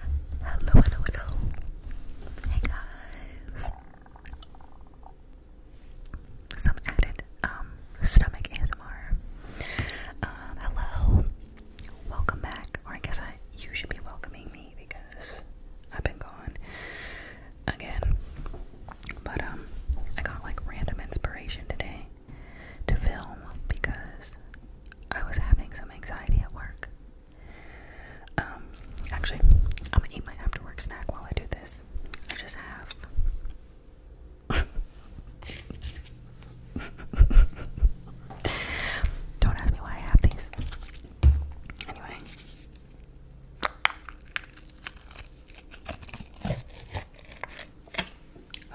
Hello, hello, hello. Hey guys. Some added um stomach ASMR. Um, hello. Welcome back. Or I guess I you should be welcoming me because I've been gone again. But um I got like random inspiration today to film because I was having some anxiety at work. Um, actually, I'm gonna eat my after work snack while I do this. I just have. Don't ask me why I have these. Anyway.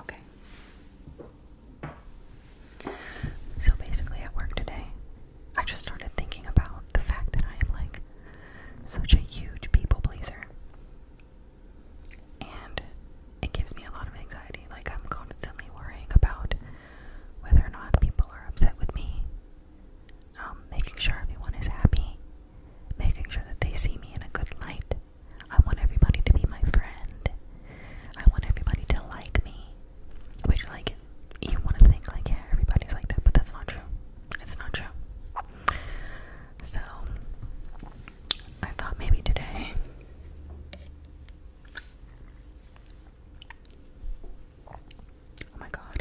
Okay. So basically, at work today, I just started thinking about the fact that I am like such a huge people pleaser. And it gives me a lot of anxiety. Like, I'm constantly worrying about whether or not people are upset with me, um, making sure everyone is happy, making sure that they see me in a good light. I want everybody to be my friend. I want everybody to like me. Which, like, you want to think, like, yeah, everybody's like that, but that's not true. It's not true. So, I thought maybe today. Oh my god.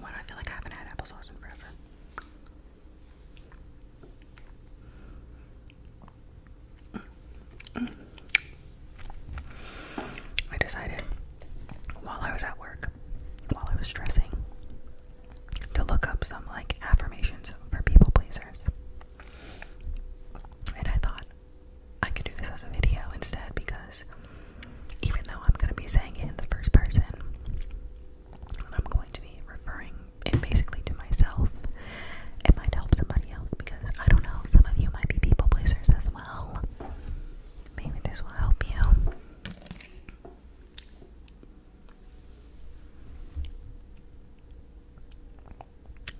Why do I feel like I haven't had applesauce in forever? I decided while I was at work, while I was dressing, to look up some like affirmations for people pleasers. And I thought I could do this as a video instead because even though I'm going to be saying it in the first person, I'm going to be referring it basically to myself. It might help somebody else because I don't know, some of you might be people pleasers as well. Maybe this will help you.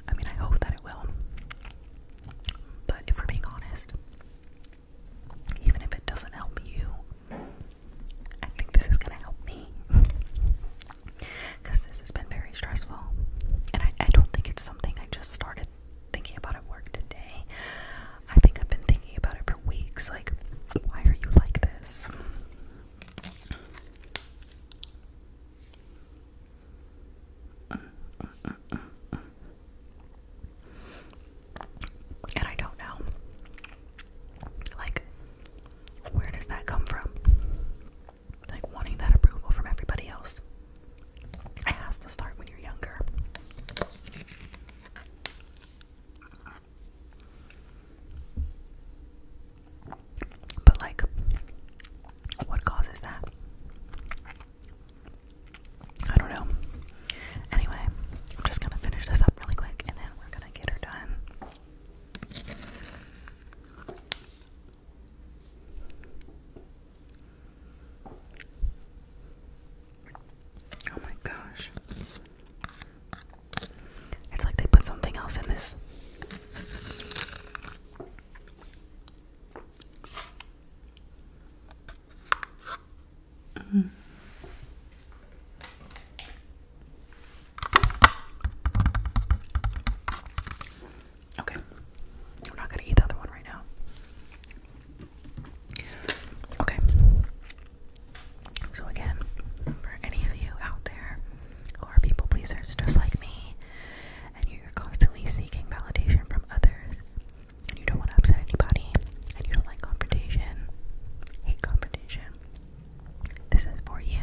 I mean, I hope that it will. But if we're being honest, even if it doesn't help you, I think this is gonna help me. because this has been very stressful. And I, don't think it's something I just started thinking about at work today. I think I've been thinking about it for weeks. Like, why are you like this? And I don't know. Like, where does that come from? Like wanting that approval from everybody else. It has to start when you're younger. But, like, what causes that? I don't know. Anyway, I'm just gonna finish this up really quick and then we're gonna get her done. Oh my gosh. It's like they put something else in this. -hmm. Okay. I'm not gonna eat the other one right now. Okay. So again, for any of you out there who are people pleasers just like me, and you're constantly seeking validation from others, and you don't want to upset anybody, and you don't like confrontation, hate confrontation, this is for you.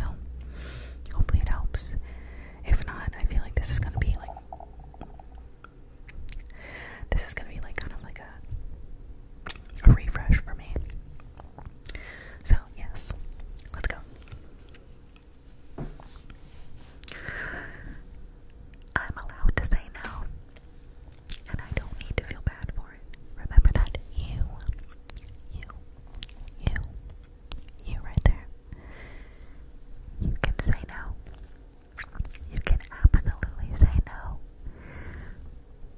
Hopefully, it helps. If not, I feel like this is gonna be like this is gonna be like kind of like a a refresh for me. So yes, let's go. I'm allowed to say no, and I don't need to feel bad important. Remember that you, you, you, you right there. You can say no. You can absolutely say no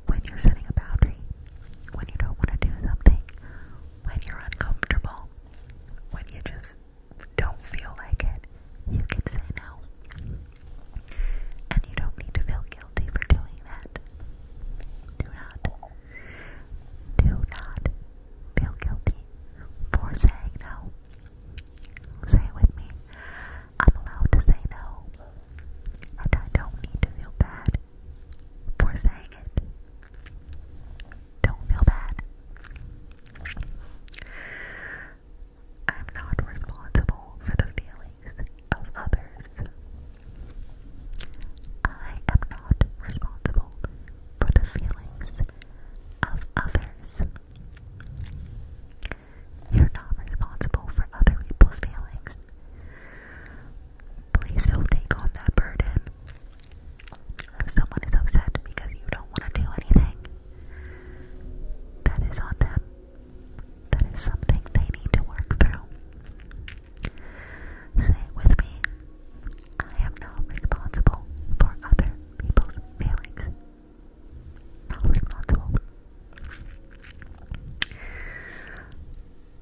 when you're setting a boundary, when you don't want to do something, when you're uncomfortable, when you just don't feel like it. You can say no. And you don't need to feel guilty guilty for doing that. Do not, do not feel guilty for saying no. Say it with me. I'm allowed to say no, and I don't need to feel bad for saying it. Don't feel bad. I'm not responsible for the feelings of others. I am not responsible for the feelings of others. You're not responsible for other people's feelings. Please don't take on that burden. If someone is upset because you don't want to do anything, that is on them. That is something they need to work through. Say it with me. I am not responsible for other people's feelings. Not responsible.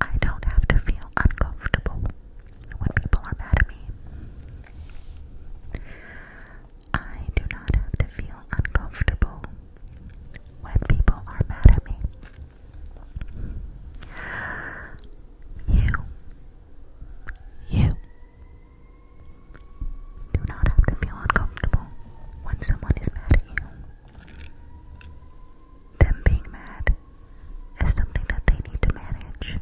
I don't have to feel uncomfortable when people are mad at me. I do not have to feel uncomfortable when people are mad at me. You, you do not have to feel uncomfortable when someone is mad at you. Them being mad is something that they need to manage.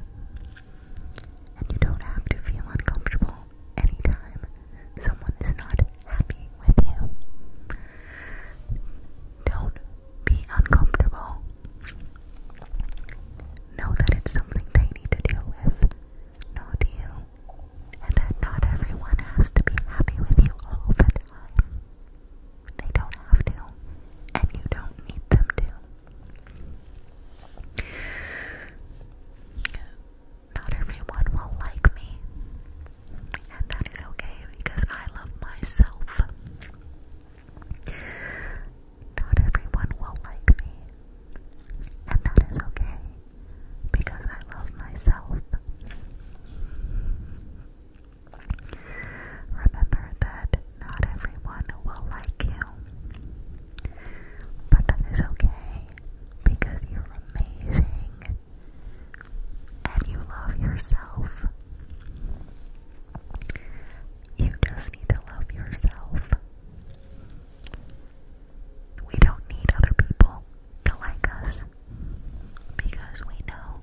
And you don't have to feel uncomfortable anytime someone is not happy with you. Don't be uncomfortable. Know that it's something they need to deal with, not you. And that not everyone has to be happy with you all the time. They don't have to, and you don't need them to. Not everyone will like me, and that is okay because I love myself. Not everyone will like me, and that is okay because I love myself. Remember that not everyone will like you, but that is okay because you're amazing and you love yourself. You just need to love yourself. We don't need other people to like us because we know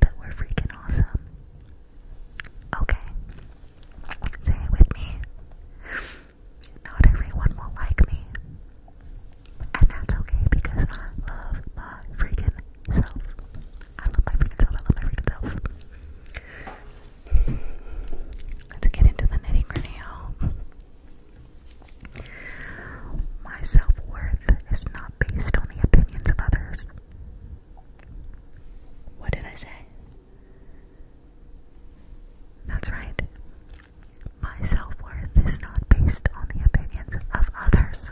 that we're freaking awesome. Okay, say it with me. Not everyone will like me. And that's okay because I love my freaking self. I love my freaking self. I love my freaking self. Let's get into the nitty gritty, My self worth is not based on the opinions of others. What did I say? That's right. My self worth is not based on the opinions of others.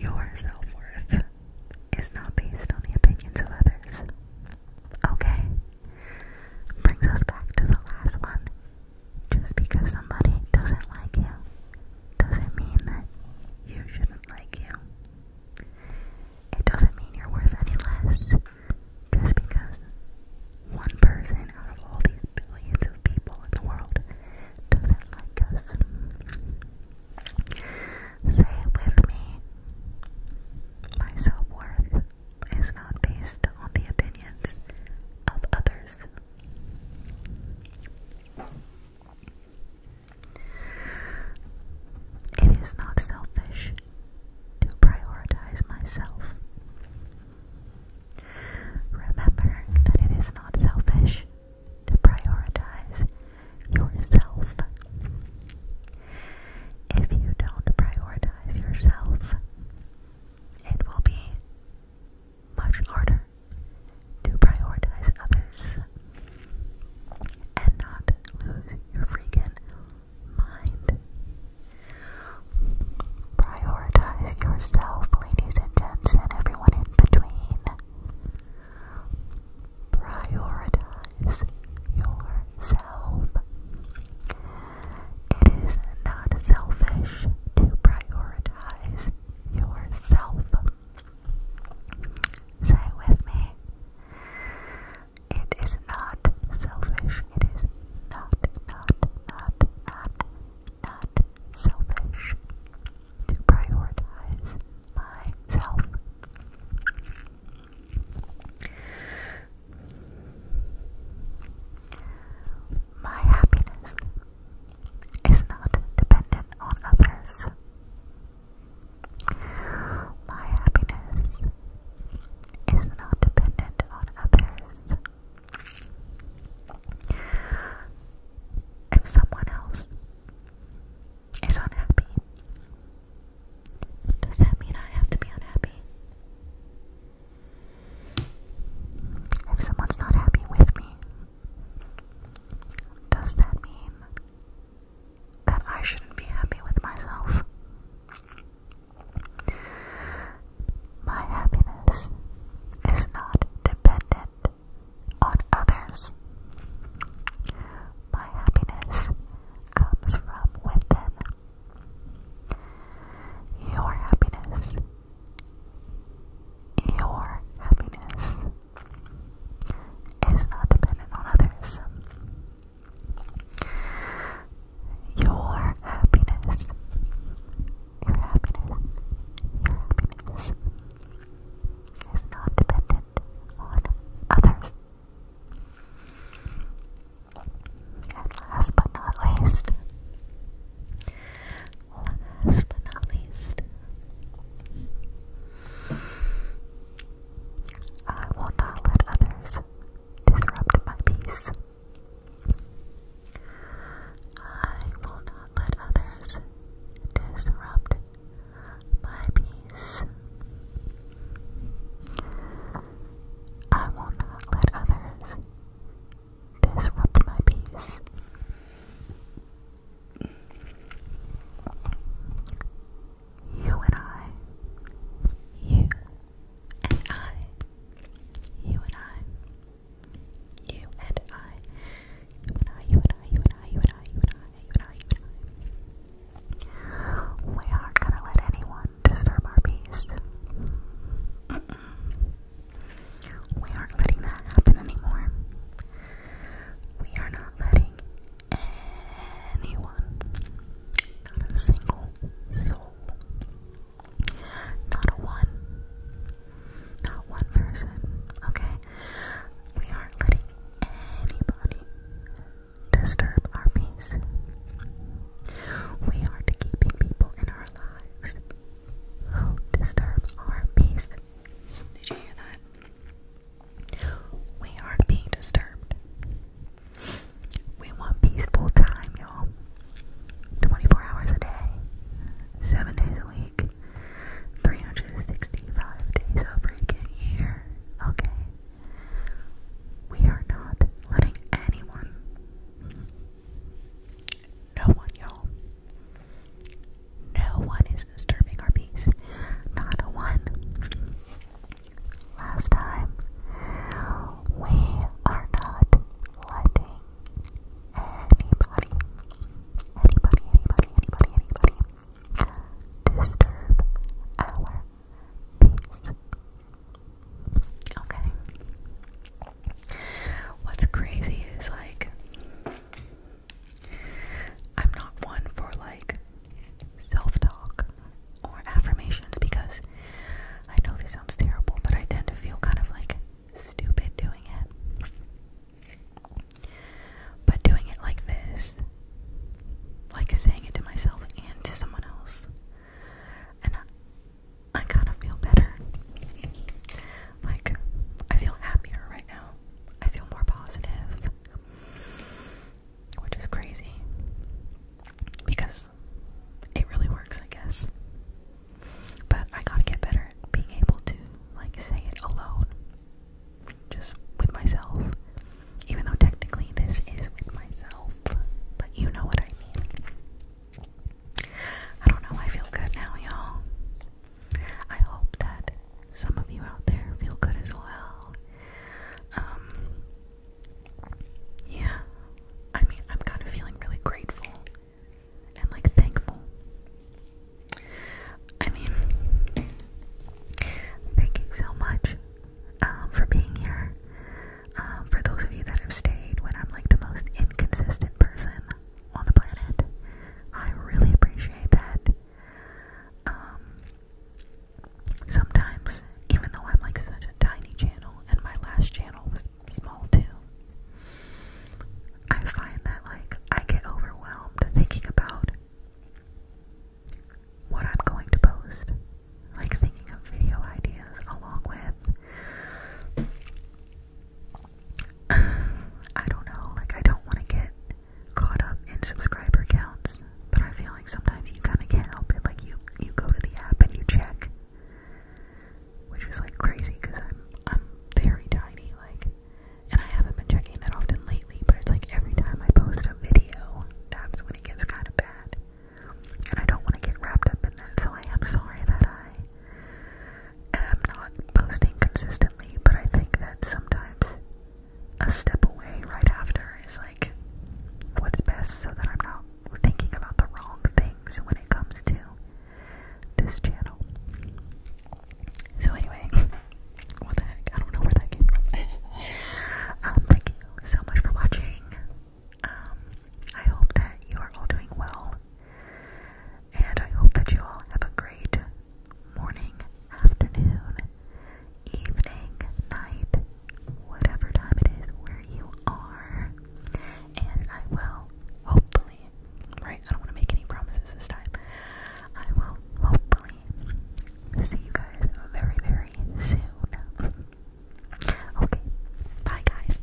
Your self worth is not based on the opinions of others. Okay. Brings us back to the last one. Just because somebody doesn't like you doesn't mean that you shouldn't like you. It doesn't mean you're worth any less. Just because one person out of all these billions of people in the world doesn't like us. Say it with me. My self worth is not based on the opinions of others. It is not selfish to prioritize myself. Remember that it is not selfish to prioritize yourself. If you don't prioritize yourself, it will be much harder to prioritize others and not lose your freaking mind. Prioritize yourself, ladies and gents, and everyone in between. Prioritize yourself. It is not selfish to prioritize yourself. Say it with me. It is not selfish. It is not, not, not, not, not selfish to prioritize myself. My happiness is not dependent on others. My happiness is not dependent on others. If someone else is unhappy, does that mean I have to be unhappy? If someone's not happy with me, does that mean that I shouldn't be happy with myself. My happiness is not dependent on others. My happiness comes from within. Your happiness. Your happiness is not dependent on others. Your happiness, your happiness, your happiness is not dependent on others. And last but not least, last but not least, I will not let others disrupt my peace. I will not let others disrupt my peace. I will not let others disrupt my peace. You and I. You and I. You and I. You and I. You and I. You and I. You and I. You and I. You and I. You and I. We aren't gonna let anyone disturb our peace. We aren't letting that happen anymore. We are not letting anyone. Not a single soul. Not a one. Not one person. Okay? We aren't letting anybody disturb our peace. We are keeping people in our lives who disturb our peace. Did you hear that? We aren't being disturbed. We want peaceful time, y'all. 24 hours a day, 7 days a week, 365 days a freaking year. Okay? We are not letting anyone, no one, y'all, no one is disturbing our peace. Not a one. Last time, we are not letting anybody, anybody, anybody, anybody, disturb our peace. Okay. What's crazy is like I'm not one for like self talk or affirmations because I know this sounds terrible, but I tend to feel kind of like stupid doing it. But doing it like this, like saying it to myself and to someone else, and I, kind of feel better. Like, I feel happier right now. I feel more positive, which is crazy because it really works, I guess. But I gotta get better at being able to, like, say it alone, just with myself. Even though technically this is with myself, but you know what I mean. I don't know, I feel good now, y'all. I hope that some of you out there feel good as well. Um, yeah, I mean, I'm kind of feeling really grateful and like thankful. I mean, thank you so much um, for being here. Um, for those of you that have stayed when I'm like the most inconsistent person, on the planet. I really appreciate that. Um, sometimes, even though I'm like such a tiny channel, and my last channel was small too, I find that like I get overwhelmed thinking about what I'm going to post, like thinking of video ideas along with I don't know, like, I don't want to get caught up in subscriber counts, but I feel like sometimes you kind of can't help it. Like, you, you go to the app and you check, which is like crazy because I'm, I'm very tiny, like, and I haven't been checking that often lately, but it's like every time I post a video, that's when it gets kind of bad. And I don't want to get wrapped up in that, so I am sorry that I am not posting consistently, but I think that sometimes a step away right after is like what's best so that I'm not thinking about the wrong things when it comes to this channel. So, anyway, what the heck? I don't know where that came from. um, thank you so much for watching. Um, I hope that you are all doing well. And I hope that you all have a great morning, afternoon, evening, night, whatever time it is where you are. And I will hopefully, right? I don't want to make any promises this time. I will hopefully see you guys very, very soon. Okay, bye, guys.